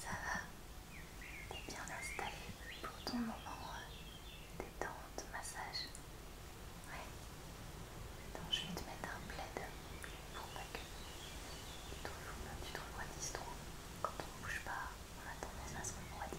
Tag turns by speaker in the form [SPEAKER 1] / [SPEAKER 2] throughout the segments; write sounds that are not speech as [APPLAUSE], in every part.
[SPEAKER 1] Ça va, t'es bien installé pour ton moment euh, détente, massage. Ouais. Attends, je vais te mettre un plaid pour pas que tu te refroidisses trop. Quand on ne bouge pas, on attendait ce à se refroidir.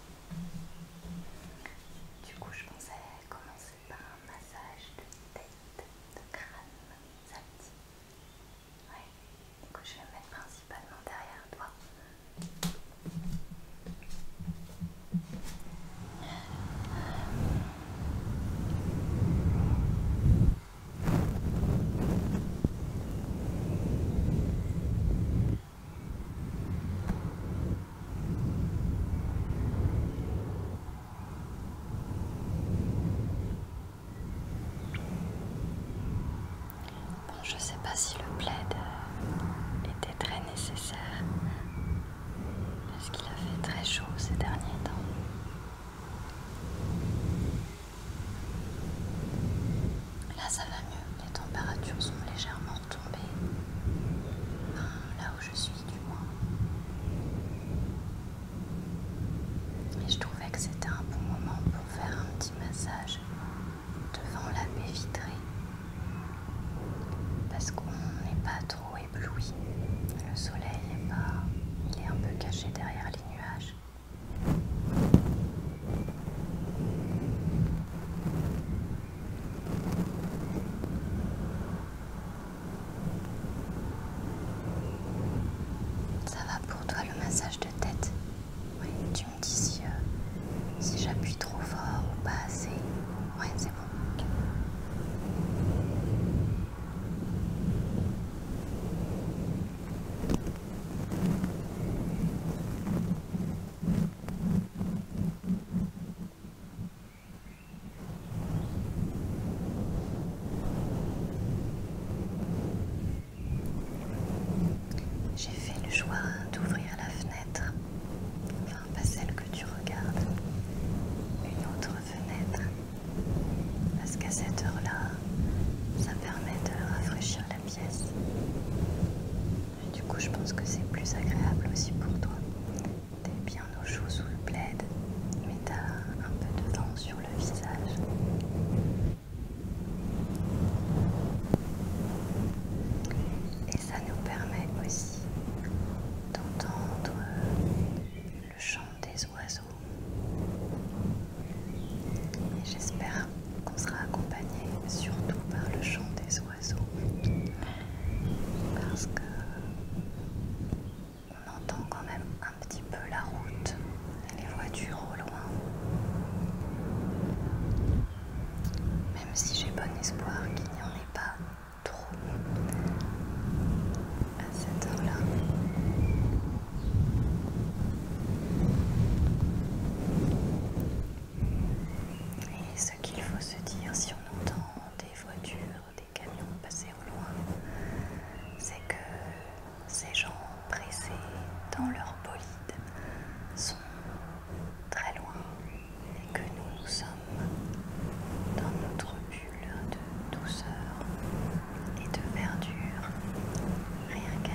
[SPEAKER 1] Du coup, je pensais commencer par un massage de tête, de crâne, ça me dit. Ouais, du coup, je vais mettre principalement derrière toi je ne sais pas si le plaid euh, était très nécessaire parce qu'il a fait très chaud ces derniers temps. Là ça va mieux, les températures sont légèrement retombées, là où je suis du moins. Et je trouvais que c'était un bon moment pour faire un petit massage devant la baie vitrée. Parce qu'on n'est pas trop ébloui. Le soleil est pas. Il est un peu caché derrière les nuages. Ça va pour toi le massage de tête Oui, tu me dis si, euh, j'appuie trop fort ou pas assez. Oui, c'est bon. J'ai fait le choix d'ouvrir la fenêtre, enfin pas celle que tu regardes, une autre fenêtre, parce qu'à cette heure-là, ça permet de rafraîchir la pièce du coup, je pense que c'est plus agréable aussi pour toi. T'es bien au chaud sous le plaid, mais t'as un peu de vent sur le visage. Et ça nous permet aussi d'entendre le chant des oiseaux. Et j'espère qu'on sera accompagné surtout par le chant des oiseaux parce que on entend quand même un petit peu la route les voitures au loin. Même si j'ai bon espoir qu'il n'y en ait pas trop à cette heure-là ce qu'il faut se dire si on entend des voitures, des camions passer au loin, c'est que ces gens pressés dans leur bolide sont très loin et que nous, nous sommes dans notre bulle de douceur et de verdure, rien qu'à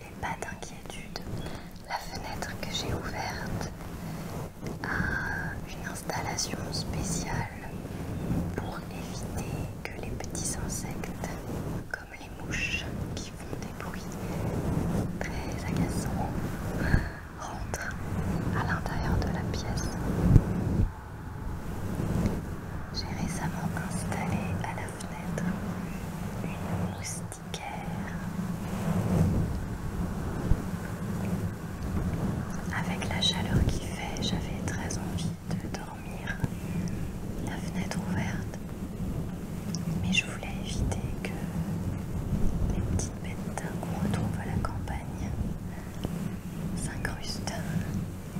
[SPEAKER 1] et pas d'inquiétude. La fenêtre que j'ai ouverte a une installation spéciale pour éviter que les petits insectes, comme les mouches qui font des bruits très agaçants, rentrent à l'intérieur de la pièce. J'ai récemment installé à la fenêtre une moustique avec la chaleur qui fait, j'avais très envie de dormir la fenêtre ouverte, mais je voulais éviter que les petites bêtes qu'on retrouve à la campagne s'incrustent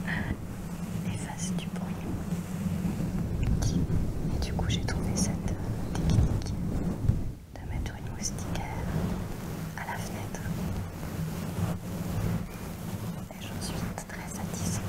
[SPEAKER 1] et fassent du bruit. Et du coup, j'ai trouvé cette technique de mettre une moustiquaire à la fenêtre. Et j'en suis très satisfaite.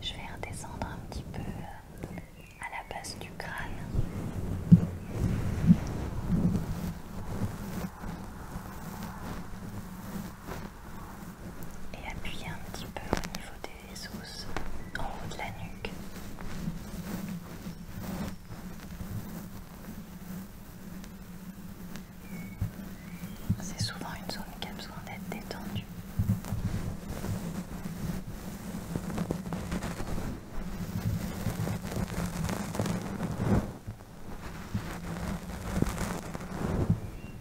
[SPEAKER 1] Je vais redescendre un petit peu euh, à la base du crâne et appuyez un petit peu au niveau des os en haut de la nuque. C'est souvent une zone qui a besoin d'être détendue.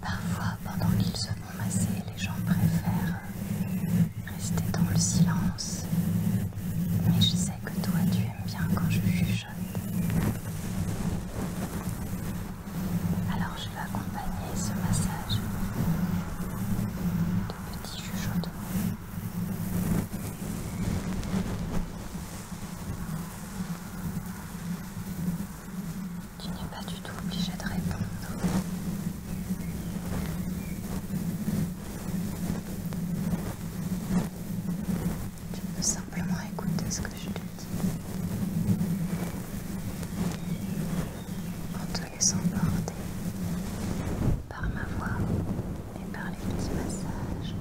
[SPEAKER 1] Parfois, pendant qu'ils se font masser, les gens préfèrent rester dans le silence. Mais je sais que toi, tu aimes bien quand je juge. Alors je vais accompagner ce massage de petits chuchotements. Tu n'es pas du tout obligé de répondre. Tu peux simplement écouter ce que je te dis en te laissant porter par ma voix et par les petits massages.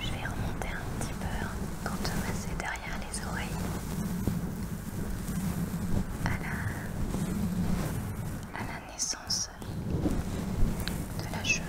[SPEAKER 1] Je vais remonter un petit peu pour te masser derrière les oreilles à la, naissance de la chevelure.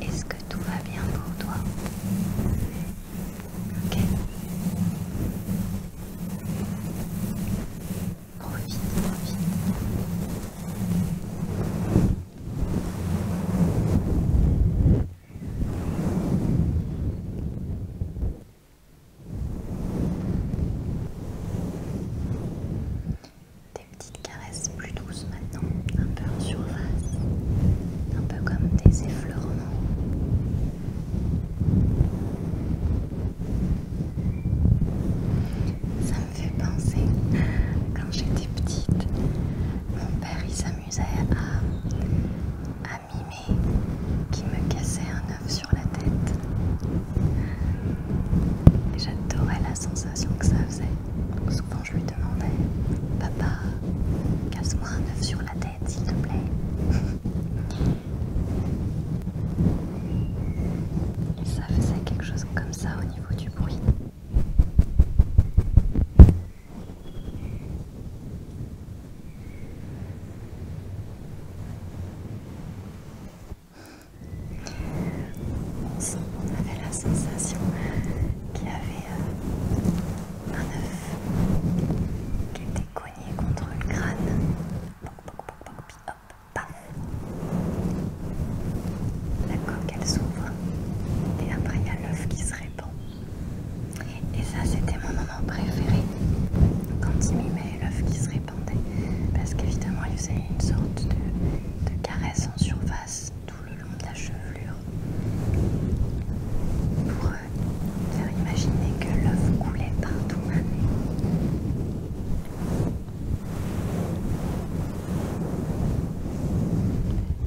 [SPEAKER 1] Est-ce que tout va bien pour toi Ok. Profite, profite. Des petites caresses plus douces maintenant, un peu en surface, un peu comme des effleurements. Ça me fait penser quand j'étais petite, mon père il s'amusait J'amusais à, à mimer qui me cassait un œuf sur la tête. J'adorais la sensation que ça faisait. souvent je lui demandais Papa, casse-moi un œuf sur la tête s'il te plaît. [LAUGHS] Et ça faisait quelque chose comme ça au niveau du bruit. Ensemble, on avait la sensation qu'il y avait euh, un œuf qui était cogné contre le crâne. Poc, poc, poc, hop, paf La coque, elle s'ouvre. Et après, il y a l'œuf qui se répand. Et ça, c'était mon moment préféré quand il mimait l'œuf qui se répandait, parce qu'évidemment, il faisait une sorte de, caresse en surface tout le long de la chevelure pour euh, faire imaginer que l'œuf coulait partout.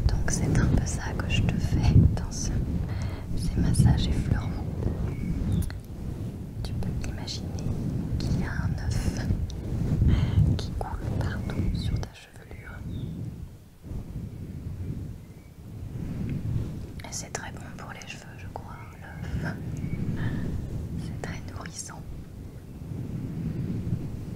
[SPEAKER 1] Donc c'est un peu ça que je te fais dans ces massages effleurants. Tu peux imaginer qu'il y a un œuf qui coule partout sur ta chevelure. Et c'est très bon pour les cheveux, je crois, hein, l'œuf. C'est très nourrissant.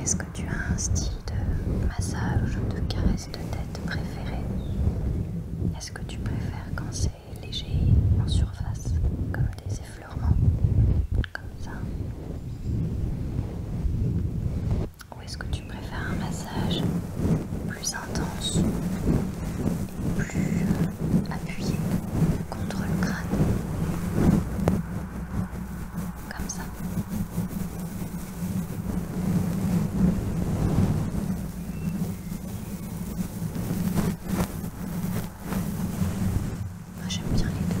[SPEAKER 1] Est-ce que tu as un style de massage de caresse de tête préféré Est-ce que tu préfères quand c'est léger en surface, comme des effets ou est-ce que tu préfères un massage plus intense, et plus appuyé contre le crâne, comme ça moi j'aime bien les deux.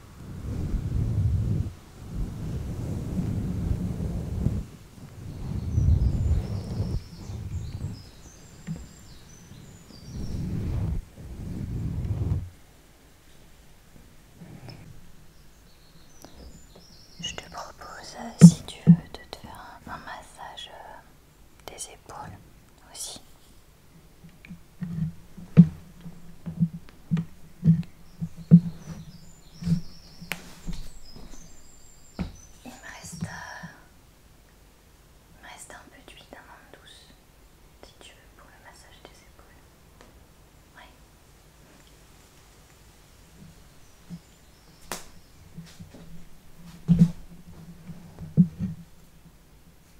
[SPEAKER 1] Je te propose, euh, si tu veux, de te faire un massage euh, des épaules aussi. Il me reste, euh, me reste un peu d'huile d'amande douce, si tu veux, pour le massage des épaules.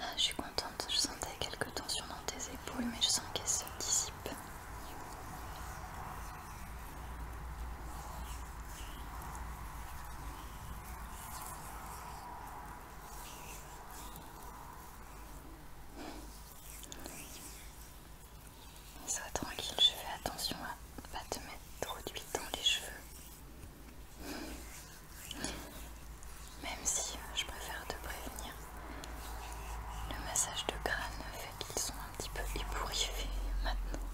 [SPEAKER 1] Ah, je suis contente, je sentais quelques tensions dans tes épaules, mais je sens qu'elles se dissipent. Sois tranquille, je fais attention à pas te mettre trop d'huile dans les cheveux. Même si euh, je préfère te prévenir, le massage de crâne fait qu'ils sont un petit peu ébouriffés maintenant.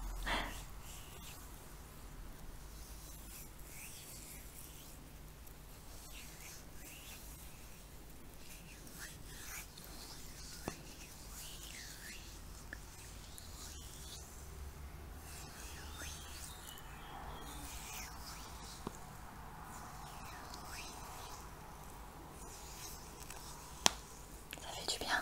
[SPEAKER 1] Ça fait du bien.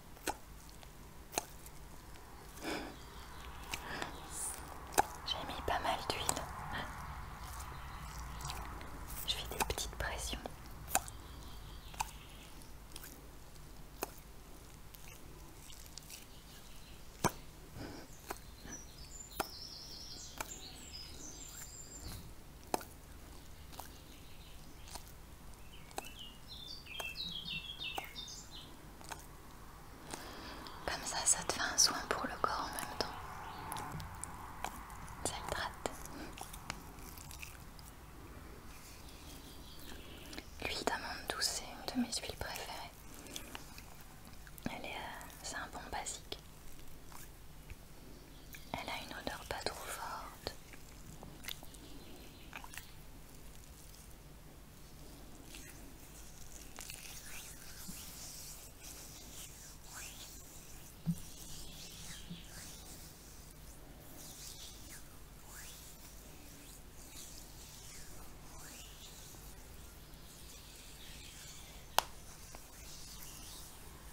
[SPEAKER 1] J'ai mis pas mal d'huile. Je fais des petites pressions. Comme ça, ça te fait un soin pour le corps en même temps. Ça traite. L'huile d'amande douce, c'est une de mes huiles préférées. Elle est, euh, c'est un bon basique. Elle a une odeur pas trop forte.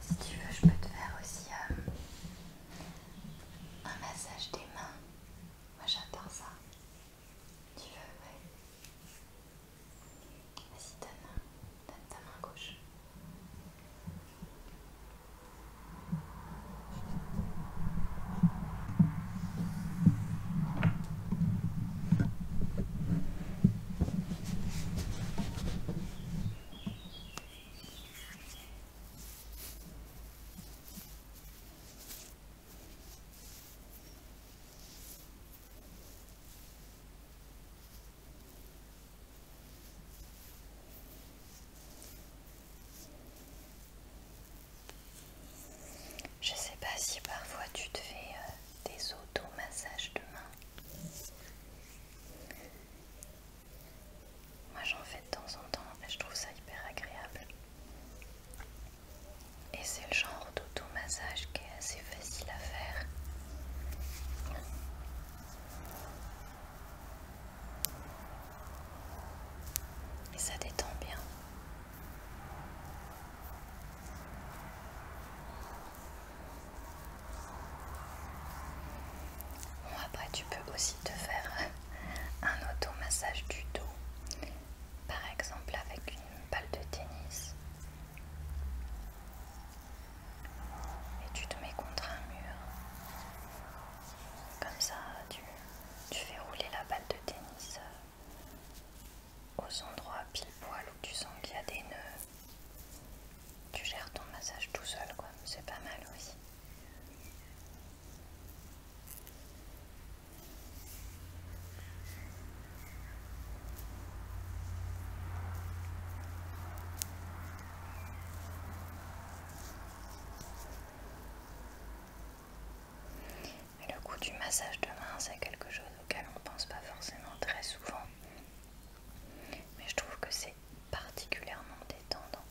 [SPEAKER 1] Si tu veux, je peux te faire aussi euh, un massage des mains. Moi j'adore ça. Tu veux, ouais. Vas-y, donne, ta main gauche. Je sais pas si parfois tu te fais euh, des auto-massages de main. Moi j'en fais de temps en temps et je trouve ça hyper agréable. Et c'est le genre d'auto-massage qui est assez facile à faire. Et ça détend bien. Bon, après, tu peux aussi te faire [LAUGHS] un automassage du dos, par exemple avec une balle de tennis. Et tu te mets contre un mur. Comme ça, tu, tu fais rouler la balle de tennis aux endroits pile poil où tu sens qu'il y a des nœuds tu gères ton massage tout seul quoi, c'est pas mal aussi. le coup du massage de main, c'est quelque chose auquel on pense pas forcément très souvent. Mais je trouve que c'est particulièrement détendant.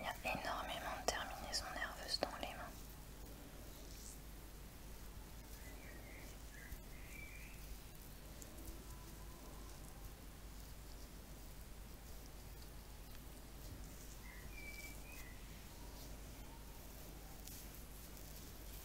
[SPEAKER 1] Il y a énormément de terminaisons nerveuses dans les mains.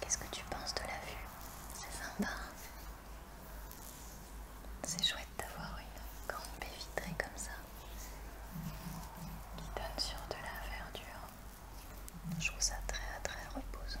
[SPEAKER 1] Qu'est-ce que tu penses de la vue C'est sympa. C'est chouette d'avoir une grande baie vitrée comme ça qui donne sur de la verdure. Je trouve ça très très reposant.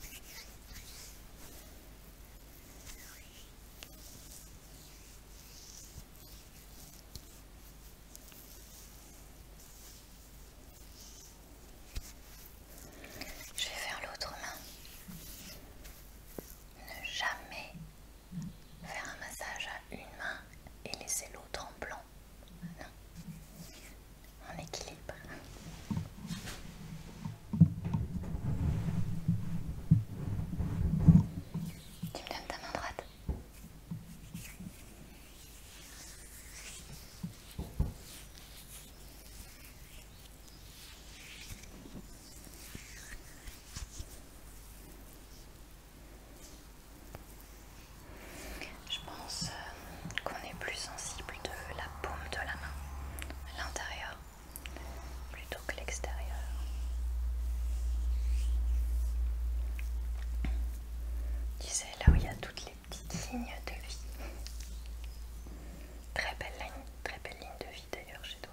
[SPEAKER 1] Je vais faire l'autre main. Ne jamais faire un massage à une main et laisser l'autre en blanc en équilibre. Tu me donnes ta main droite. Je pense euh, qu'on est plus sensible de la paume de la main, l'intérieur, plutôt que l'extérieur. Tu sais, là où il y a toutes les petites lignes de vie. Très belle très belle ligne de vie d'ailleurs chez toi.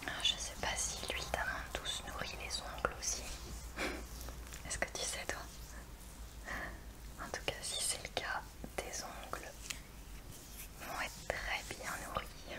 [SPEAKER 1] Je ah, je sais pas si l'huile d'amande douce nourrit les ongles aussi. [LAUGHS] Est-ce que tu sais toi En tout cas, si c'est le cas, tes ongles vont être très bien nourris.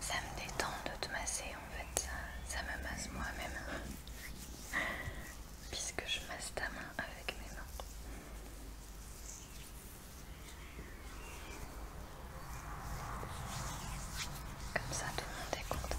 [SPEAKER 1] Ça me détend de te masser en fait, ça, me masse moi-même. [LAUGHS] Puisque je masse ta main avec mes mains. Comme ça tout le monde est content.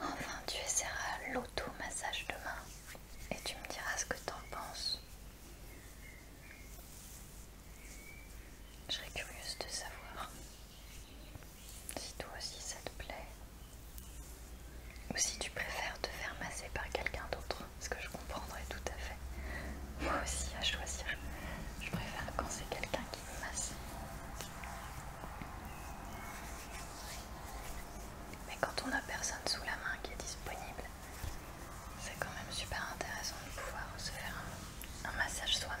[SPEAKER 1] Enfin, tu essaieras l'auto-massage demain et tu me diras ce que t'en penses. Je serais curieuse de savoir. Si toi aussi ça te plaît. Ou si tu préfères te faire masser par quelqu'un d'autre, ce que je comprendrais tout à fait. Moi aussi à choisir. Je préfère quand c'est quelqu'un qui me masse. Mais quand on n'a personne sous la main qui est disponible, c'est quand même super intéressant de pouvoir se faire un massage soi-même.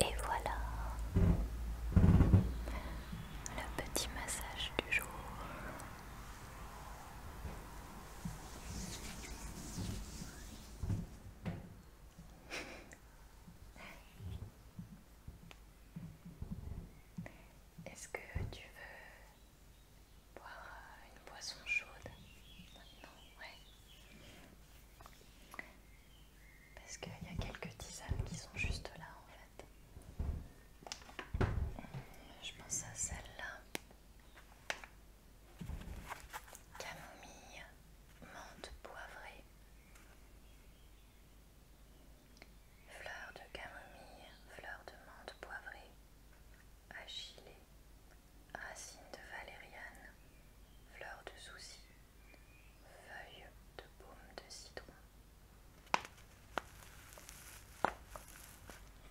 [SPEAKER 1] Et voilà le petit massage du jour. Est-ce que tu veux boire euh, une boisson chaude maintenant Ouais. Parce qu'il y a quelques tisanes qui sont juste là en fait. Je pense à celle-là. Camomille, menthe poivrée. Fleur de camomille, fleur de menthe poivrée. Achillée, racine de valériane, fleur de souci, feuille de baume de citron. Ça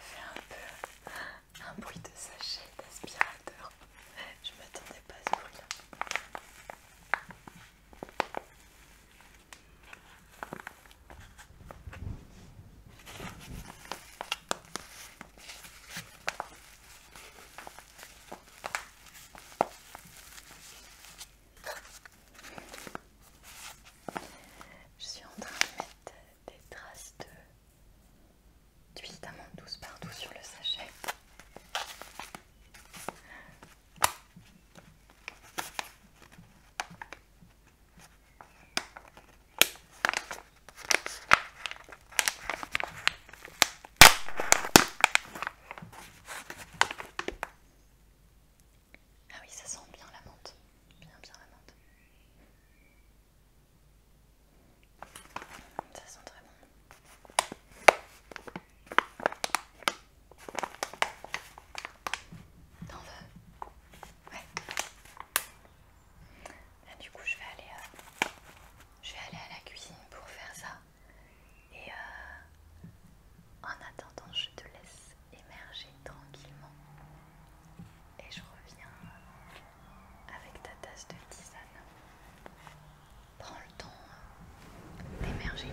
[SPEAKER 1] fait un peu un bruit de sachet d'aspirateur. Je m'attendais pas à ce bruit je suis en train de mettre des traces de d'huile d'amande douce partout sur le sachet. Ah oui, ça sent bien la menthe, bien bien la menthe. Ça sent très bon. T'en veux Ouais. du coup, je vais aller, euh, je vais aller à la cuisine pour faire ça. Et euh, en attendant, je te laisse émerger tranquillement. Et je reviens euh, avec ta tasse de tisane prends le temps hein, d'émerger.